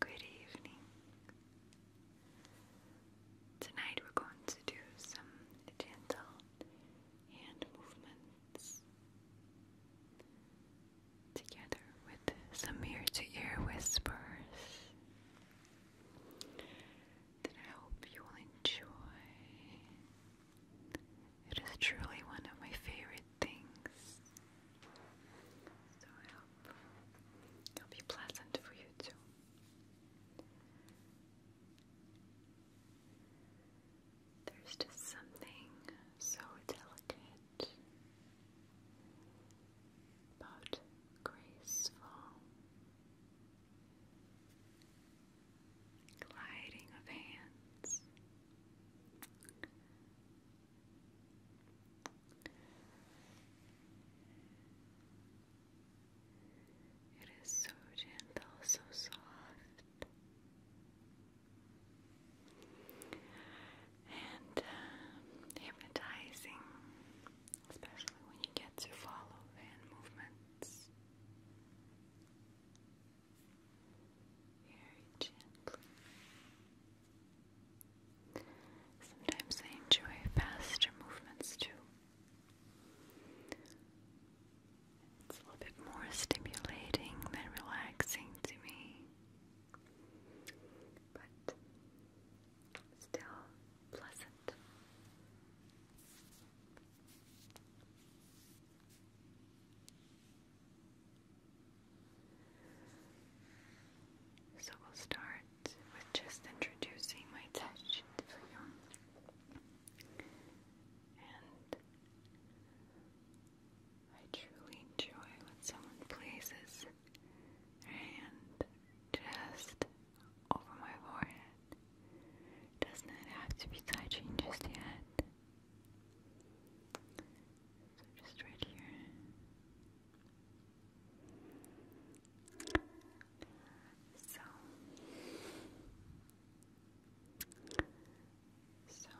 Good evening. Tonight we're going to do some gentle hand movements together with some ear to ear whispers I hope you will enjoy. It is truly one of my favorite things. So I hope it'll be pleasant for you too. There's just something so delicate about graceful gliding of hands it is so gentle, so soft. And hypnotizing, um, especially when you get to follow the movements very gently. Sometimes I enjoy faster movements too. It's a little bit more stimulating than relaxing to me, but still pleasant. So we'll start with just introducing my touch for you. And I truly enjoy when someone places their hand just over my forehead. Doesn't have to be touching just yet? So just right here. So, so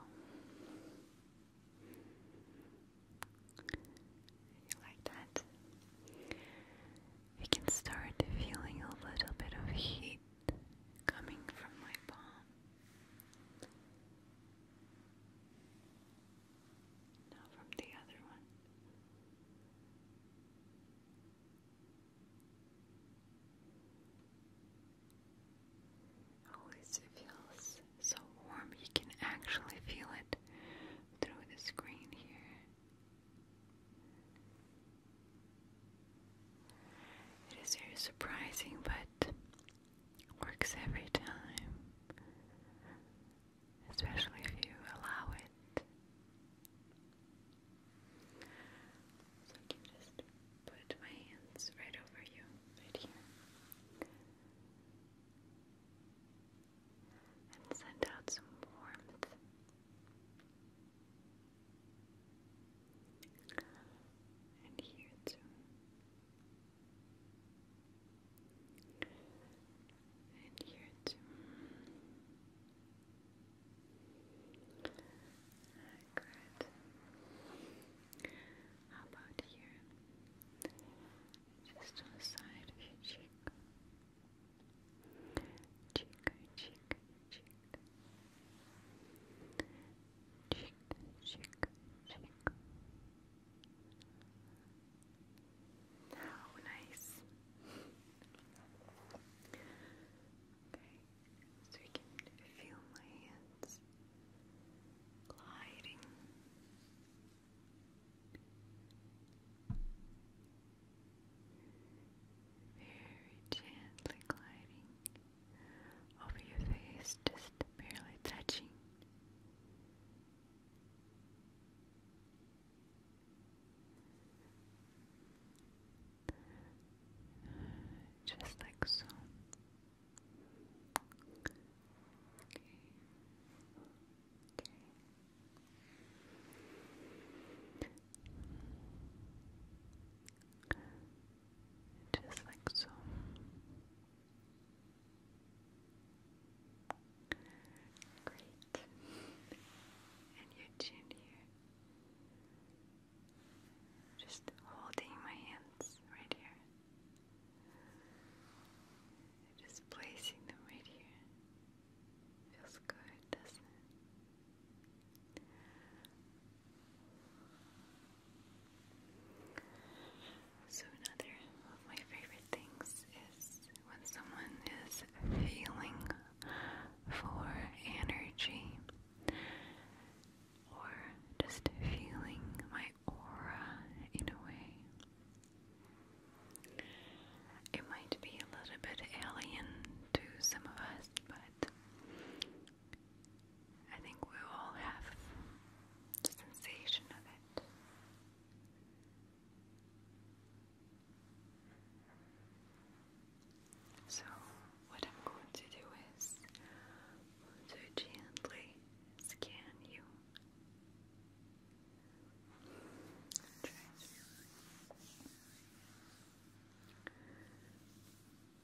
you like that? You can start feeling a little bit of heat coming from my palm. Now from the other one. Always feels so warm, you can actually feel it through the screen here. It is very surprising, but Works every time, especially if you allow it. So I can just put my hands right over you, right here, and send out some warmth. And here too. And here too. Good. How about here? Just on the side cheek. Cheek, cheek, cheek chick, chick. How nice. okay, so we can feel my hands gliding. Very gently gliding over your face, just barely touching. Just like so. Okay. Okay. Just like so. Great. And your chin Just holding my hands right here. Just placing them right here. Feels good, doesn't it? So, another of my favorite things is when someone is feeling for energy or just feeling my aura in a way. It might be a little bit alien to some of us, but I think we all have sensation of it. So, what I'm going to do is to gently scan you.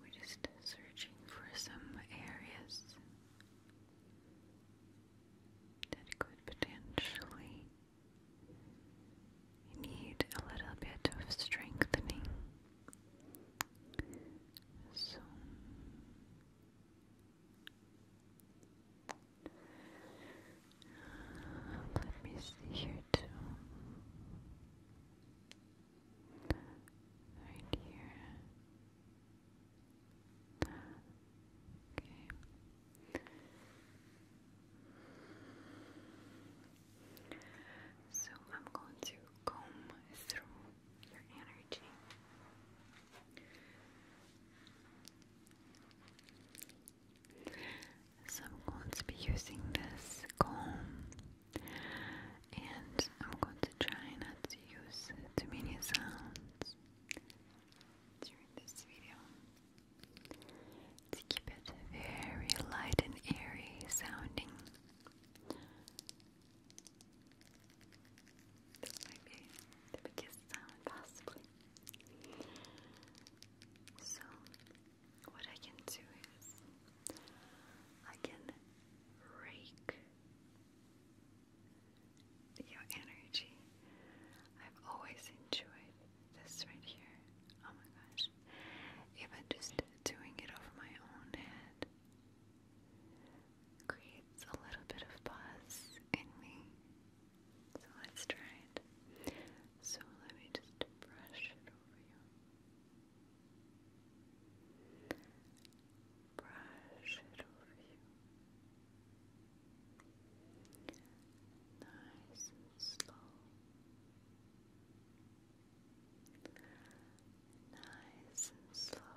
We're just searching for some areas that could potentially need a little bit of strengthening. So let me see here too. Right here. Okay. So I'm going to comb through your energy. So I'm going to be using this comb and I'm going to try not to use too many sounds during this video to keep it very light and airy sounding. That might be the possibly. So, what I can do is I can rake your energy. I've always enjoyed this right here. Oh my gosh. Even just doing it over my own head creates a little bit of buzz in me. So let's try it. So let me just brush it over you. Brush it over you. Nice and slow. Nice and slow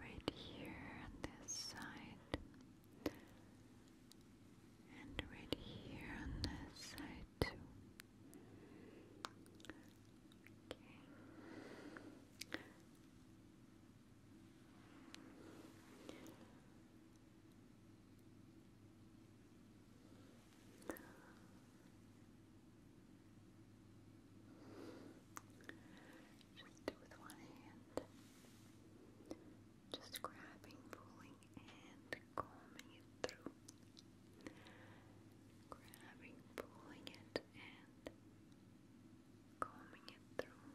right here on this side, and right here on this side too. Okay just with one hand, just grabbing, pulling, and combing it through. Grabbing, pulling it, and combing it through.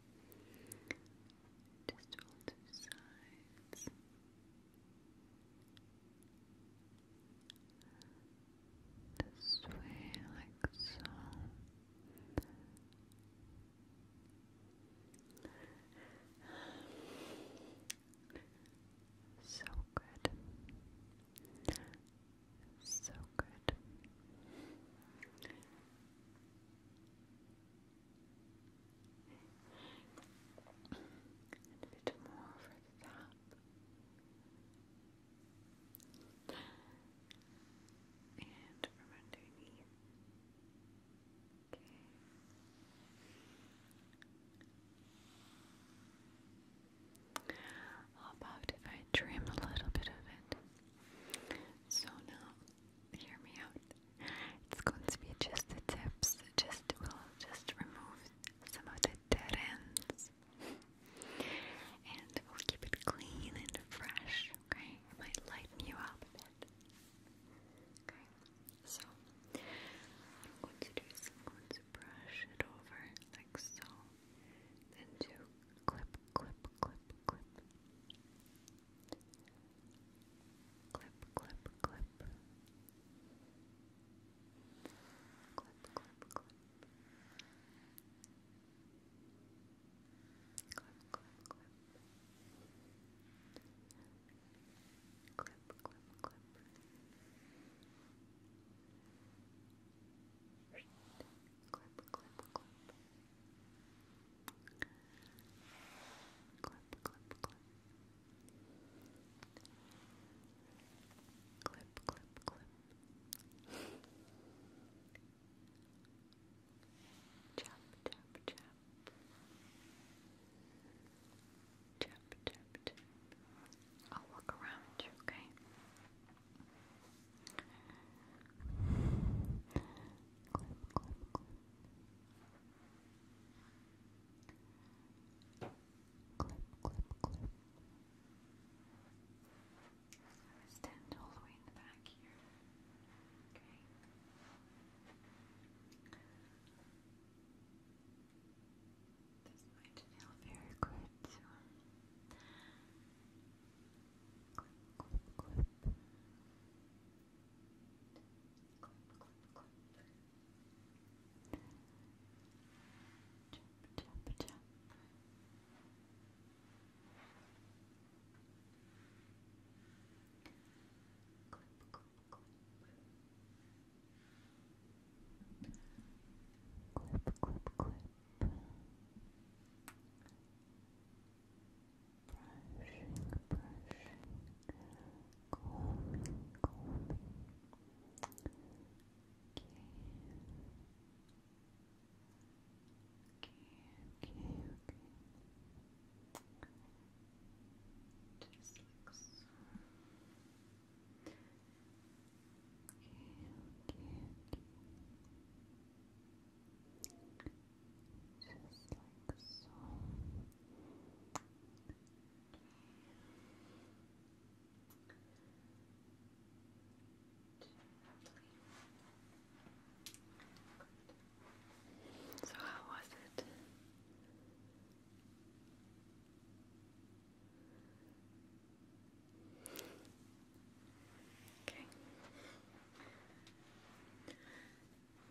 Just all two sides. This way, like so. So good. So good. And a bit more over the top. And from underneath. Okay. How about if I a little bit of it? So now hear me out. It's going to be just the tips. Just we'll just remove some of the dead ends, and we'll keep it clean and fresh. Okay, might lighten you up a bit. Okay, so I'm going to do is I'm going to brush it over like so, then do clip, clip, clip, clip. Clip, clip, clip. Clip, clip, clip. Clip, clip, clip. Clip, clip, clip. Clip, clip, clip. Clip, clip, clip. Clip, clip, clip. Clip, clip, clip. Chop, chop, chop. Chop, chop, chop. I'll look around you, okay? clip, clip. Clip, clip, clip. I'm going to stand all the way in the back here. Okay. This might feel very good. So, clip, clip, clip. Clip, clip, clip. Tap, tap, tap. Clip, clip, clip. Clip, clip, clip brushing, brushing, combing, combing. Okay. Okay, okay, okay. Just okay, okay. Just like So, how was it? Okay.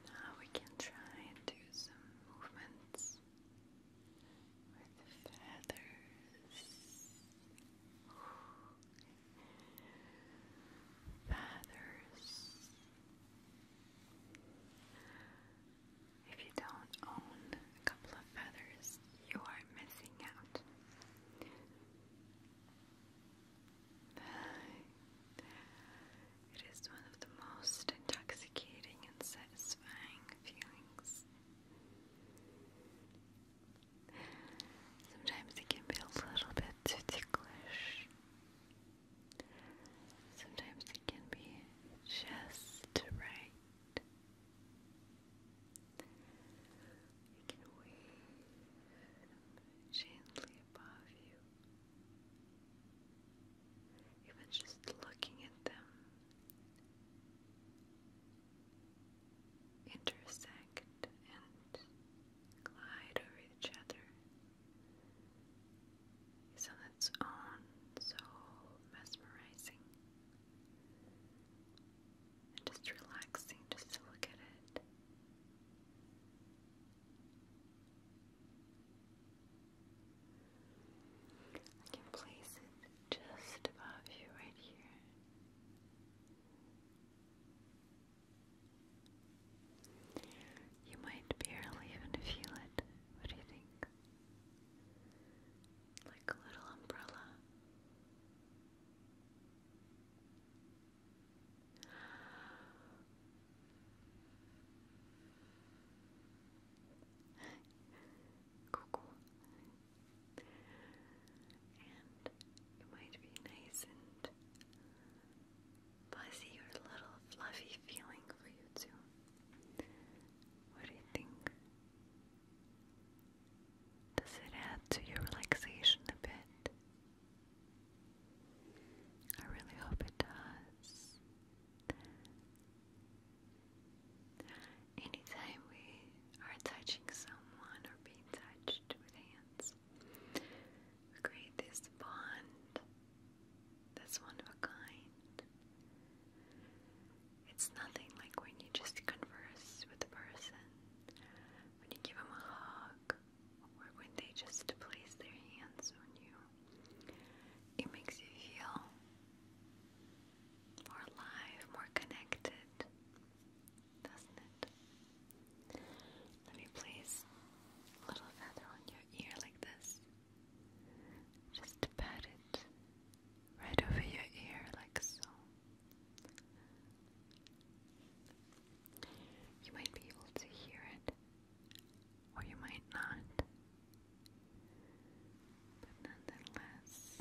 Now we can try and do some movements with feathers. Feathers. If you don't own a couple of feathers, you are missing out. It is one of the most intoxicating and satisfying feelings. Sometimes it can be a little bit too Sometimes it can be just right. You can wave gently above you. Even just looking at them intersect and glide over each other is on its own so mesmerizing just relaxing just to look at it. I can place it just above you right here. You might barely even feel it. What do you think? Like a little umbrella. Cuckoo. And might be nice and fuzzy or a little fluffy feeling for you too. What do you think? Does it add to your relaxation a bit? I really hope it does. Anytime we are touching someone or being touched with hands, we create this bond that's one of a kind. It's nothing like when you just converse with a person, when you give them a hug, or when they just place their hands on you, it makes you feel more alive, more connected, doesn't it? Let me place a little feather on your ear like this. Just pat it right over your ear like so. You might be able to hear it, or you might not. But nonetheless,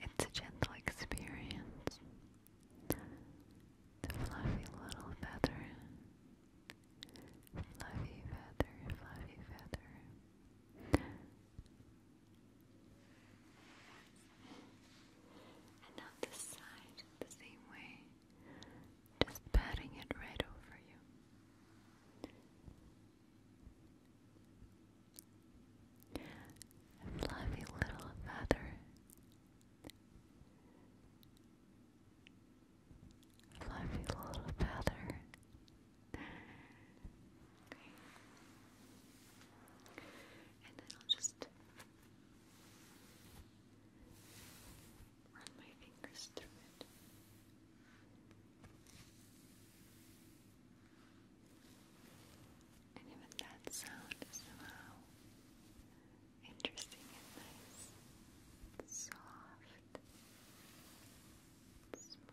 it's a gentle experience. The fluffy little feather. Fluffy feather, fluffy feather. And on this side, the same way, just patting it right over you. fluffy little feather. Fluffy little feather. Okay. And then I'll just run my fingers through it. And even that sound is somehow interesting and nice. soft. Smooth.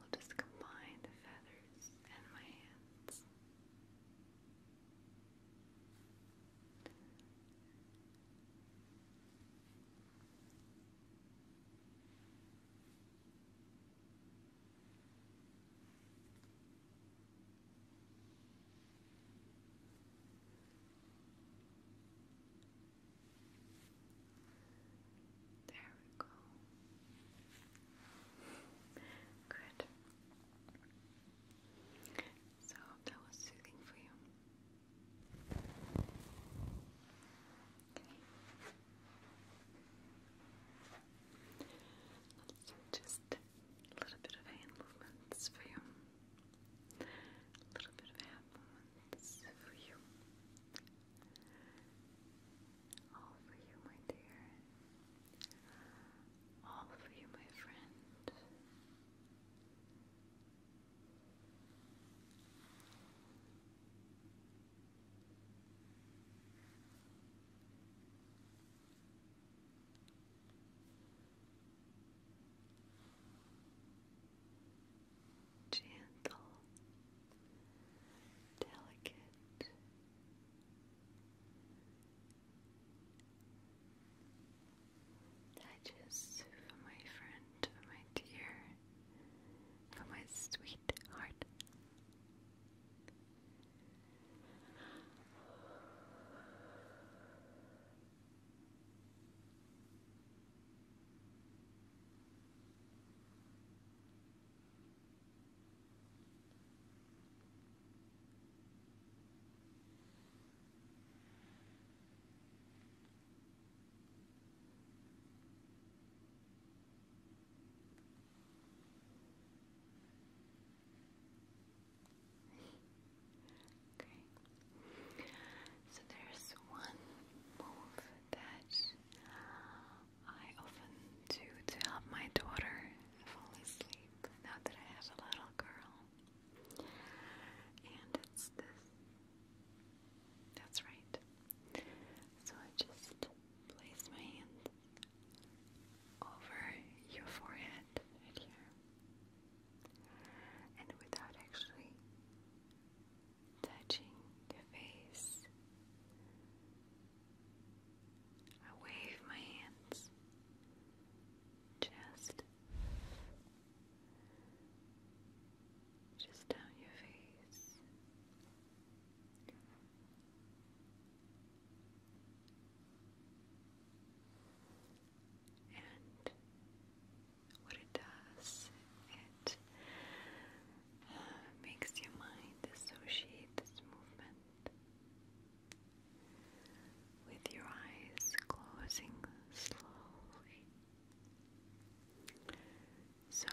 We'll just combine the feathers and my hands. There we go. Good. So that was soothing for you. Just a little bit of hand movements for you. A little bit of hand movements for you. All for you, my dear. All for you, my friend. Gentle, delicate. That is my friend, my dear for my sweet heart. Okay. So there's one move that I often do to help my daughter fall asleep now that I have a little girl. And it's this that's right. So I just place my hand over your forehead right here. And without actually touching your face, I wave my hands just just down your face. And what it does, it uh, makes your mind associate this movement with your eyes closing slowly so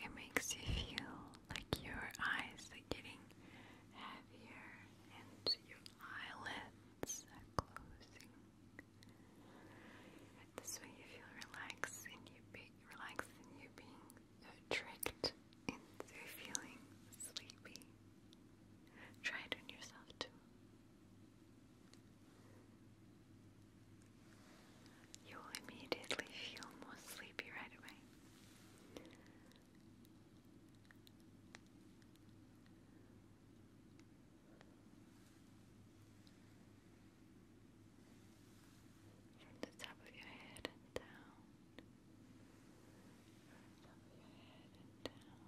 it makes you feel like your eyes are getting heavier and your eyelids are closing. This way you feel relaxed and you be relaxed and you being tricked into feeling sleepy. Try it on yourself too. You will immediately feel more sleepy right away. From the top of your head and down. From the top of your head and down.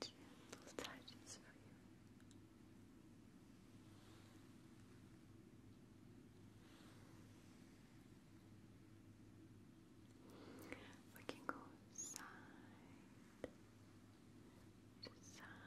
Gentle touches for you. We can go side side, side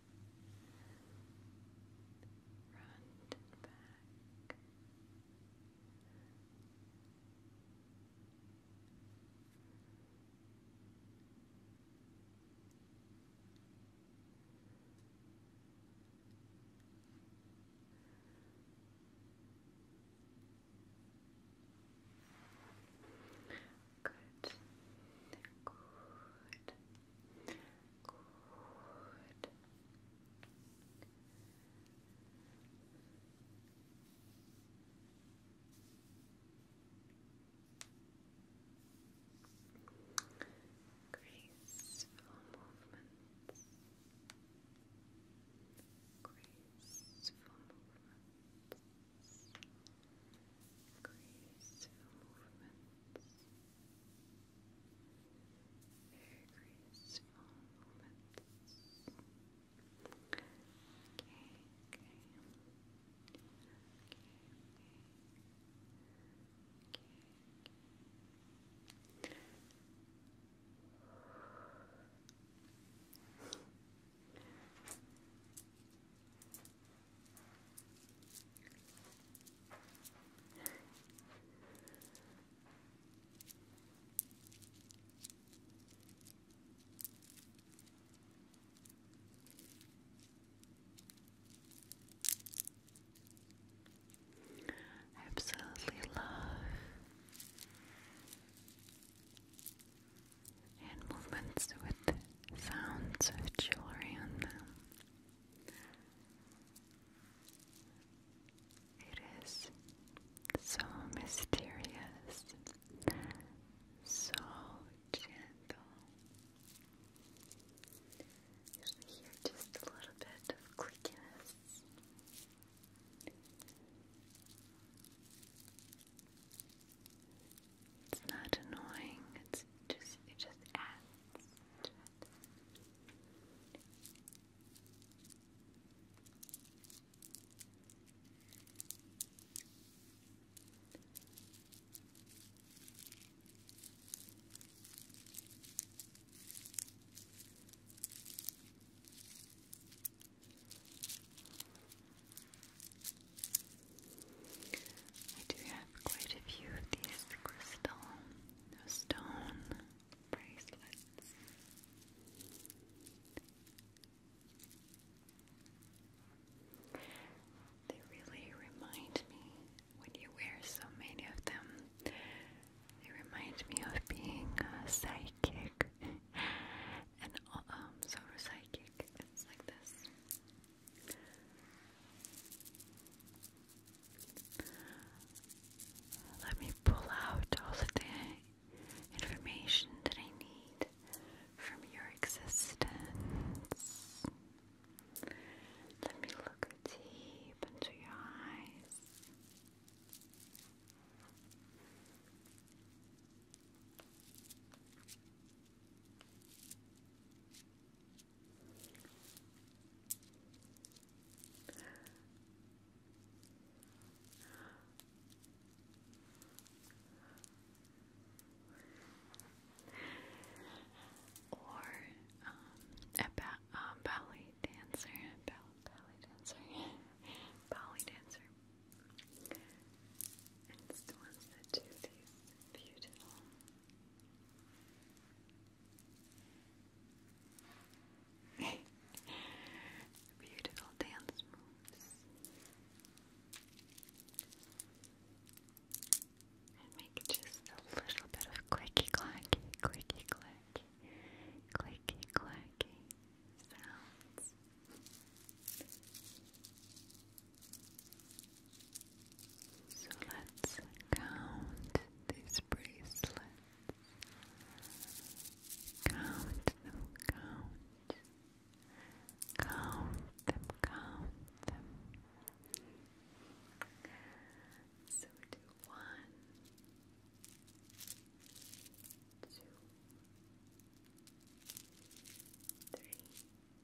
front and back. Good. Good. Good. Graceful movements. Graceful movements graceful movements, very graceful movements. Okay, okay, okay, okay, okay. Okay. I absolutely love and movements with sounds of jewelry on them. It is so mysterious, so gentle. you hear just a little bit of clickiness. It's not annoying, it's just it just adds I do have quite a few of these crystal stone bracelets. They really remind me when you wear so many of them. They remind me of being a uh, psychic, and um, so psychic. It's like this. Let me pull out all the information that I need from your existence. Let me look deep into your eyes. Or um, a um, ballet dancer, ballet dancer, ballet dancer. And it's the ones that do these Beautiful. Beautiful dance moves. And make just a little bit of clicky clacky, clicky clacky, clicky clacky sounds. So let's count these bracelets. Count them, count. Count them, count them. So do one, two,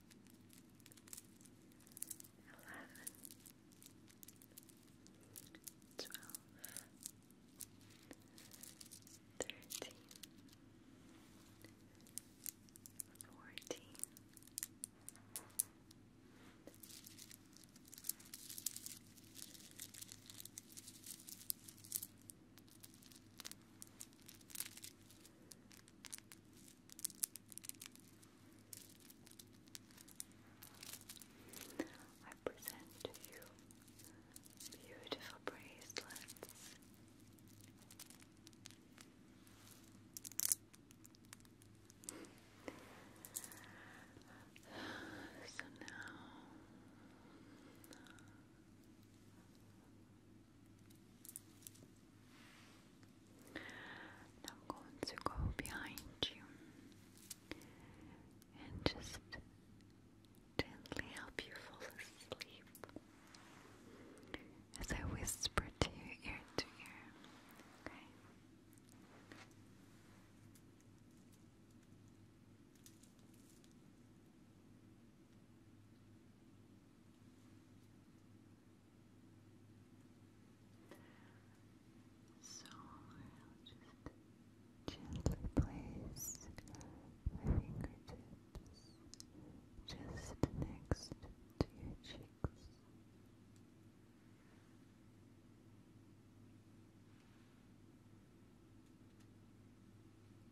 eleven, twelve, thirteen, fourteen. Fifteen, I present you beautiful bracelets. so now I'm going to go behind you and just gently help you fall asleep as I whisper to you ear to ear. Okay. So I'll just gently place my fingertips just next to your cheeks.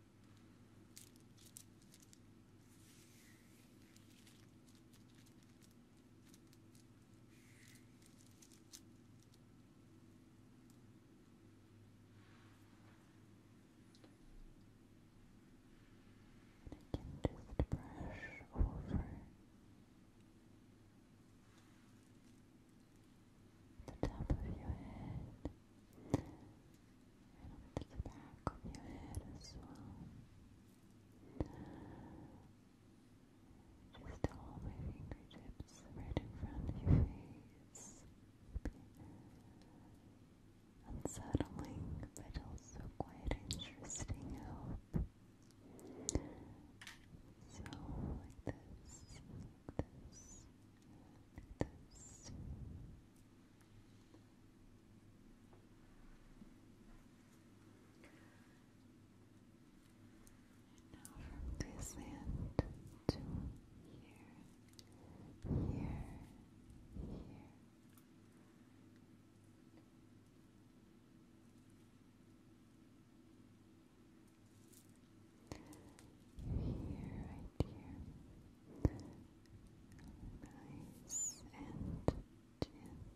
I can just brush over the top of your head and over the back of your head as well. Just all my fingertips right in front of your face. Unsettling, but also quite interesting, I hope. So, like this, this, this. And now to here, here, here. Here, right here. Nice and gentle.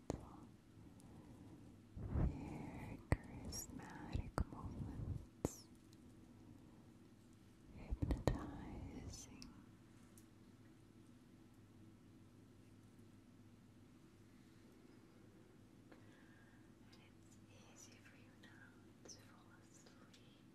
Very charismatic movements. Hypnotizing. And it's easy for you now to fall asleep